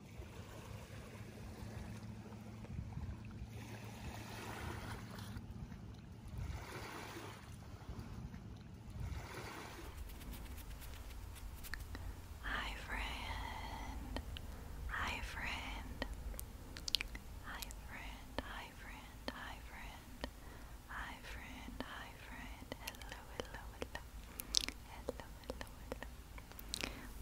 Hi, friend. Hi, friend. Hi, friend. Hi, friend. Hi, friend. Hi, friend. Hi, friend. Hello, hello, hello. Hello, hello, hello.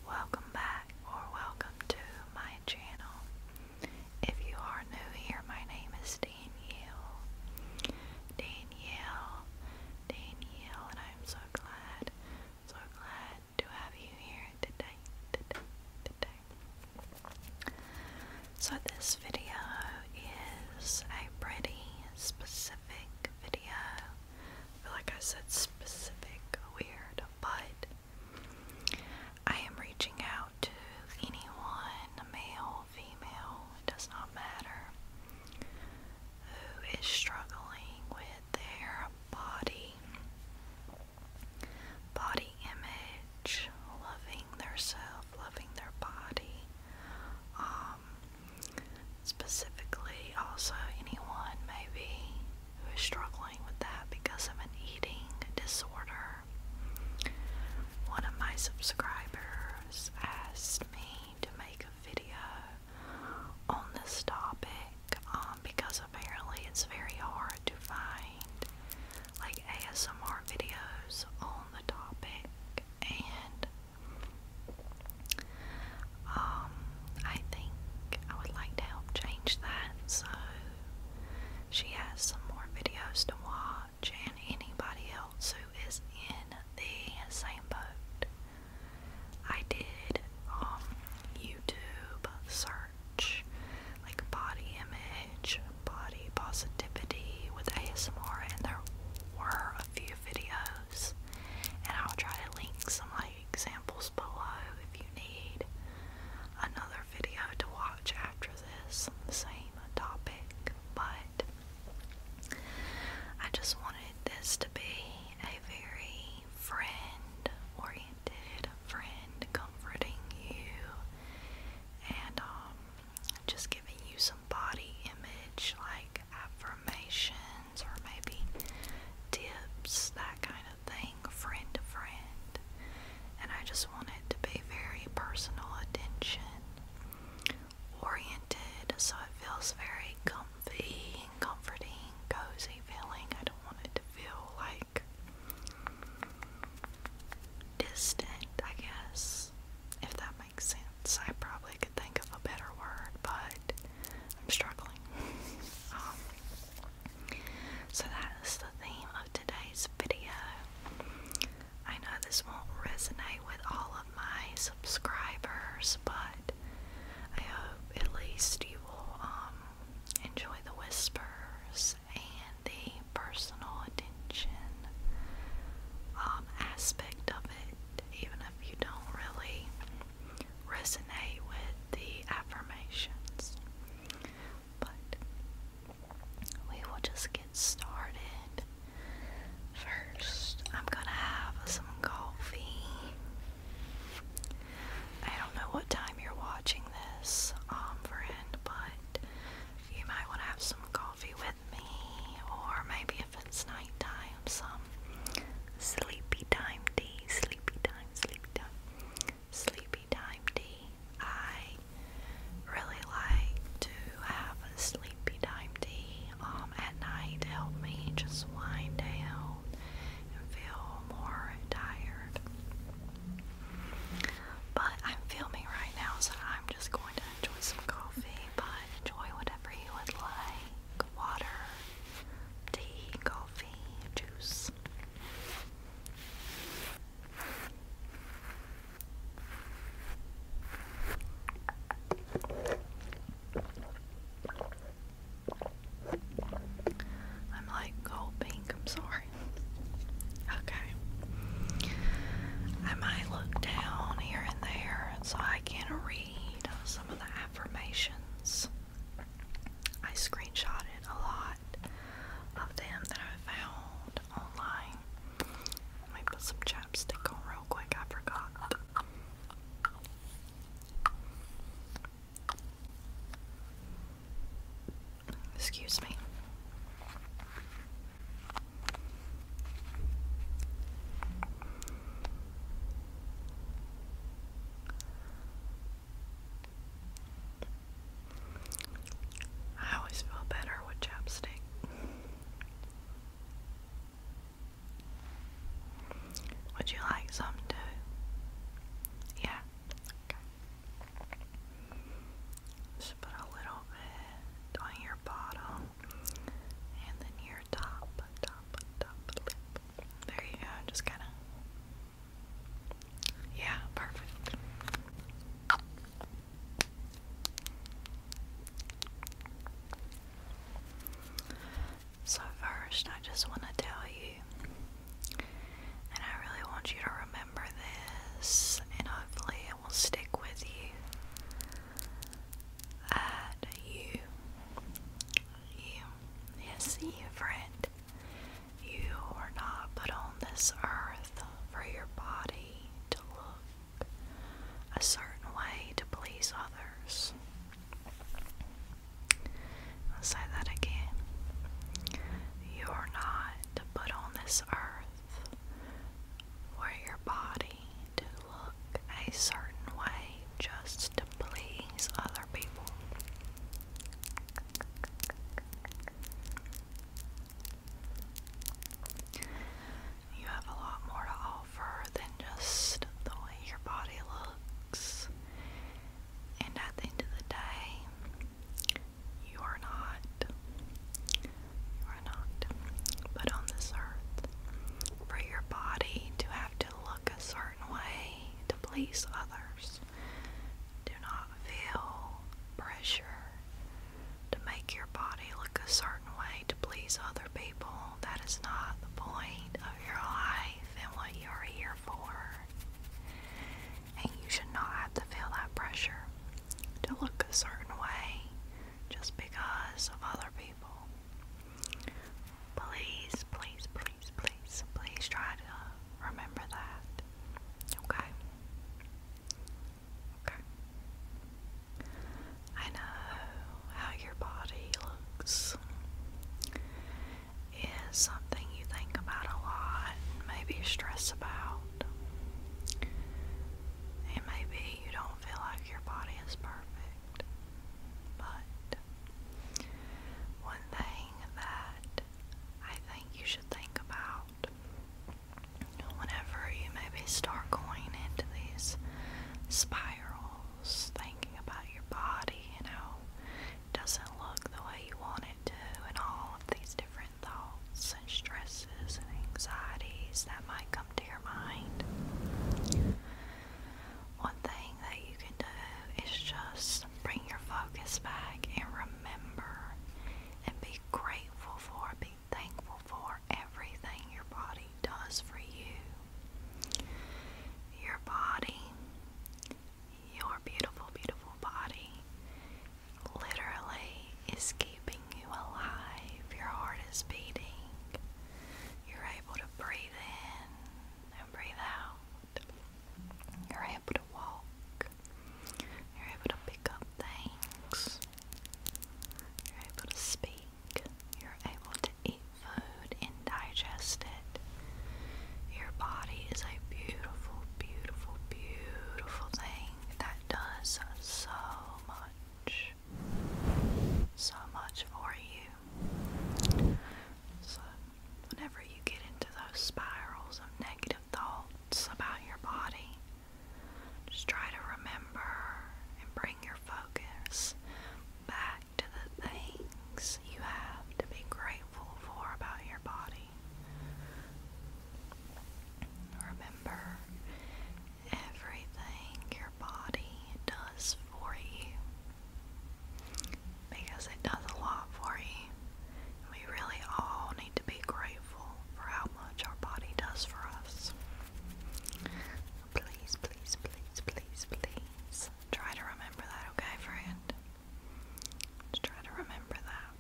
Welcome back or welcome to my channel. If you are new here, my name is Danielle. Danielle, Danielle, and I'm so glad, so glad to have you here So this video is a pretty specific video I feel like I said specific weird, but I am reaching out to anyone, male, female, does not matter, who is struggling with their body, body image, loving their self, loving their body. Um, Specifically, also anyone maybe who is struggling with that because of an eating disorder. One of my subscribers asked me to make a video on this topic um, because apparently it's very hard to find like ASMR videos on the topic and um, I think I would like to help change that so she has some more videos to watch and anybody else who is in the same boat. I did um, YouTube search like body image, body positivity with ASMR, and there were a few videos. And I'll try to link some like examples below if you need another video to watch after this on the same topic. But I just wanted this to be a very friend oriented, friend comforting you and um, just giving you some body image like affirmations or maybe tips, that kind of thing, friend to friend. And I just wanted to be very personal attention oriented so it feels very comfy and comforting, cozy feeling. I don't want it to feel like distant, I guess, if that makes sense. I probably could think of a better word, but I'm struggling. Um, so that is the theme of today's video. I know this won't resonate with all of my subscribers, but I hope at least you will um, enjoy the whispers and the personal attention um, aspect of it even if you don't really resonate with the affirmations. But we will just get started. First, I'm gonna have some coffee. I don't know what time you're watching this, um, friend, but you might want to have some coffee with me, or maybe if it's nighttime, some sleepy time tea, sleepy time, sleepy time, sleepy time tea. I really like to have a sleepy time tea um, at night to help me just wind down and feel more tired. But I'm filming right now, so I'm just going to enjoy some coffee, but enjoy whatever whatever you would like water, tea, coffee, juice. I'm like gold pink, I'm sorry. Okay. I might look down here and there so I can read uh, some of the affirmations. I screenshotted a lot of them that I found online. Let some chapstick on real quick, I forgot. Excuse me. I always feel better with chapstick. Would you like some too? Yeah. Okay. Just put a little bit eh, on your bottom and then your top, top, top There you go, just kind of. Yeah, perfect. So, first, I just want to tell you, and I really want you to remember this, and hopefully, it will stick with you. And you, you, yes, you, friend, you were not put on this earth for your body to look a certain way to please others. I'll say that again. You are not put on this earth for your body to look a certain way just to please other people. You have a lot more to offer than just the way your body looks. And at the end of the day, you are not. You are not. But on this earth, for your body to have to look a certain way to please others, do not feel pressure to make your body look a certain way to please other people. That is not the point of your life and what you are here for. And you should not have to feel that pressure to look a certain way just because of other people. Please, please, please, please, please try to remember that. Okay? Okay. I know how your body looks is something you think about a lot maybe stress about. And maybe you don't feel like your body is perfect, but one thing that I think you should think about whenever you maybe start going into these spirals, thinking about your body, you know, doesn't look the way you want it to, and all of these different thoughts and stresses and anxieties that might come to your mind. One thing that you can do is just bring your focus back and remember and be grateful for, be thankful for everything your body does for you. Your body, your beautiful, beautiful body literally is keeping you alive. Your heart is beating. You're able to breathe in and breathe out. You're able to walk. You're able to pick up things. You're able to speak. You're able to eat food and digest it. Your body is a beautiful beautiful, beautiful thing that does so much, so much for you. So, whenever you get into those spirals of negative thoughts about your body, just try to remember and bring your focus back to the things you have to be grateful for about your body. Remember, everything your body does for you because it does a lot for you. We really all need to be grateful for how much our body does for us. Please, please, please, please, please try to remember that, okay, friend? to try to remember that.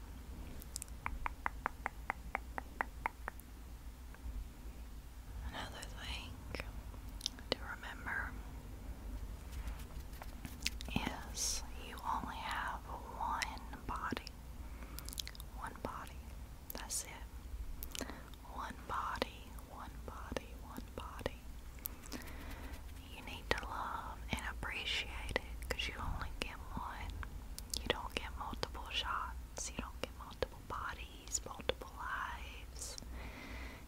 Another thing to remember is you only have one body. One body. That's it. One body, one body, one body you need to love and appreciate it because you only get one. You don't get multiple shots, you don't get multiple bodies, multiple lives.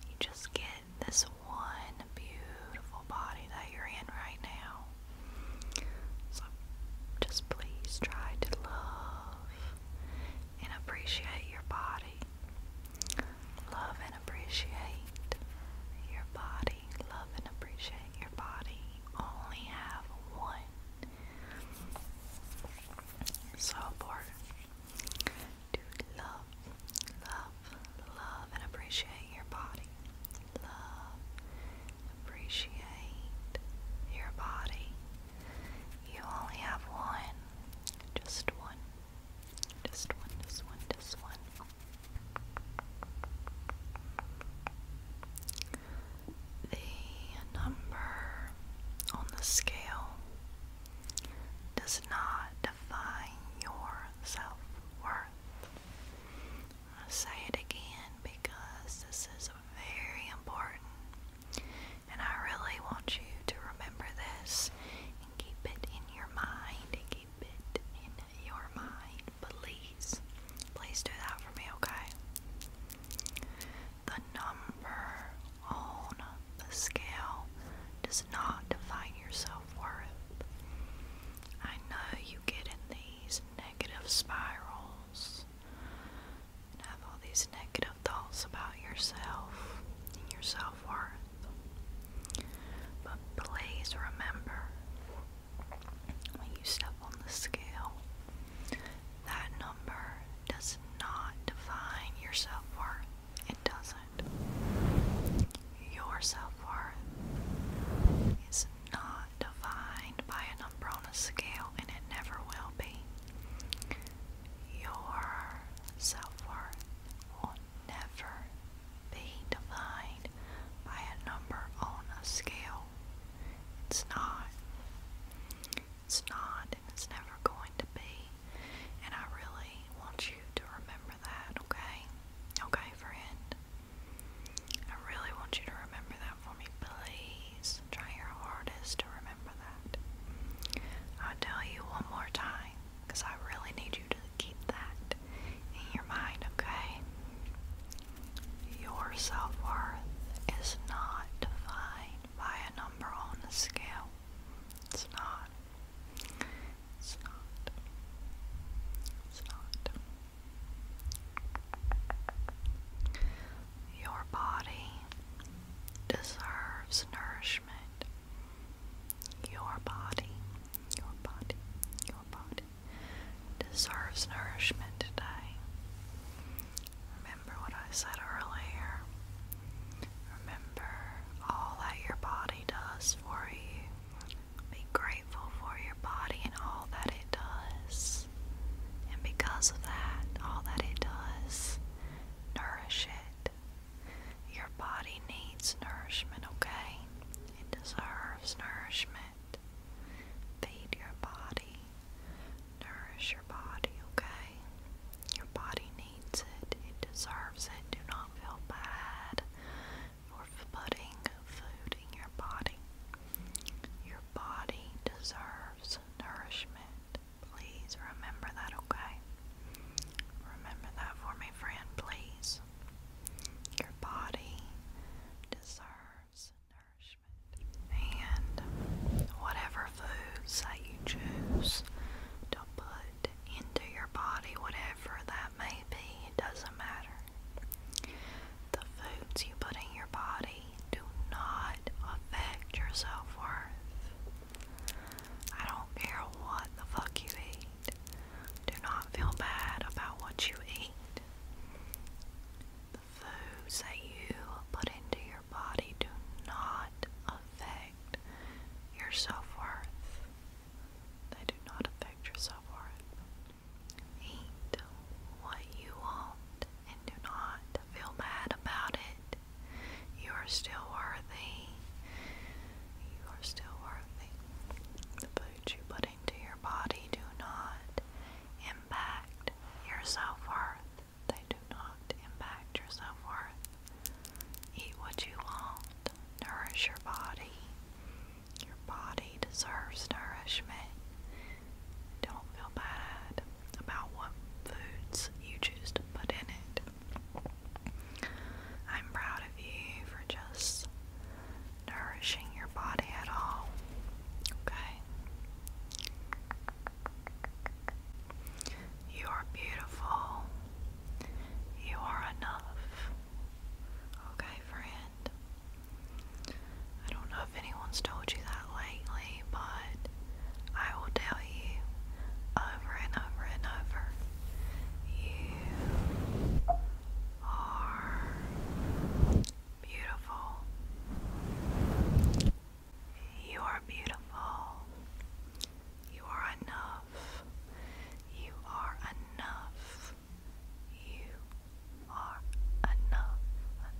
You just get this one beautiful body that you're in right now. So just please try to love and appreciate your body. Love and appreciate your body. Love and appreciate your body only have one. So important to love, love, love, and appreciate your body. Love, appreciate your body. You only have one. Just one. Just one, just one, just one. The number on the scale does not define your self worth. i say it again because this is very important and I really want you to remember this and keep it in your mind and it in your mind, please. Please do that for me, okay? The number on the scale does not define your self worth. I know you get in these negative spirals and have all these negative thoughts about yourself and your self-worth. But please remember, when you step on the scale, that number does not define your self-worth. It doesn't. Your self-worth is not defined by a number on a scale, and it never will be. Your self-worth will never be defined by a number on a scale. It's not. It's not, and it's never going to be. And I really want you to remember that, okay? Okay, friend? I really want you to remember that for me, please. Try your hardest to remember that. I'll tell you one more time because I really need you to keep that in your mind, okay? Your self worth is not defined by a number on a scale. It's not. It's not. It's not. Your body deserves nourishment your body, your body, your body deserves nourishment today. Remember what I said earlier. Remember all that your body does for you. Be grateful for your body and all that it does. And because of that, all that it does, nourish it, your body needs nourishment, okay? It deserves nourishment. Feed your body. Nourish your body, okay? Your body needs it. It deserves it. Do not feel bad for putting food in your body. Your body deserves nourishment. Please remember that, okay? Remember that for me, friend, please. Your body deserves nourishment. And whatever foods that you choose to put into your body, whatever that may be, it doesn't matter. The foods you put in your body do not affect your self worth. I don't care what the fuck you eat. Do not feel bad about what you eat. The foods that you put into your body do not affect your self worth. They do not affect your self worth. Eat what you want and do not feel bad about it. You are still worthy. You are still worthy. The food you put into your body do not impact your self worth. They do not impact your self worth. Eat what you want, nourish your body. Your body deserves nourishment. Don't feel bad about what foods you choose to put in it. I'm proud of you for just nourishing your body at all. Okay? You are beautiful. You are enough. Okay, friend? I don't know if anyone's told you that lately, but I will tell you over and over and over. You are beautiful. You are beautiful. You are enough. You are enough. You are enough.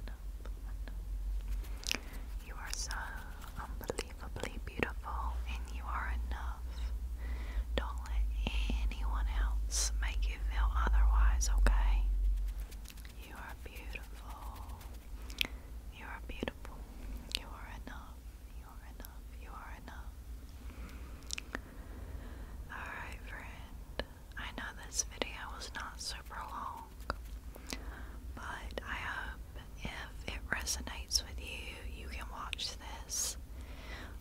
Enough. Enough. You are so unbelievably beautiful and you are enough. Don't let anyone else make you feel otherwise, okay? You are beautiful. You are beautiful. You are enough. You are enough. You are enough. Alright, friend. I know this video was not super long, but I hope if it resonates with you, you can watch this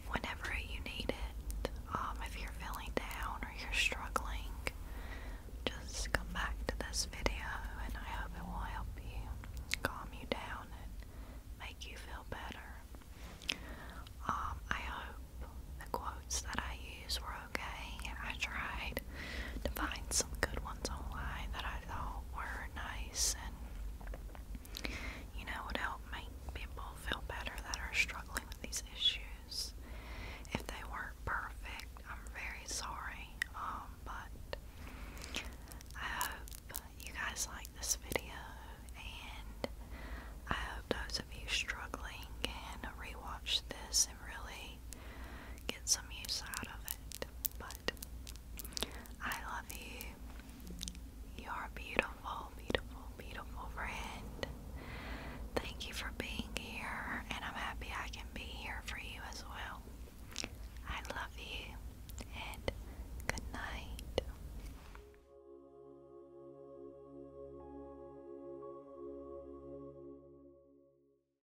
whenever you need it. Um, if you're feeling down or you're struggling, just come back to this video and I hope it will help you calm you down and make you feel better. Um, I hope the quotes that I use were okay. I tried to find some good ones online that I thought were nice and, you know, would help make people feel better that are struggling with these issues. If they weren't perfect, I'm very sorry, um, but I hope you guys like this video, and I hope those of you struggling can rewatch this and really get some use out of it. But I love you. You're beautiful, beautiful, beautiful friend. Thank you for being here, and I'm happy I can be here for you as well. I love you, and good night.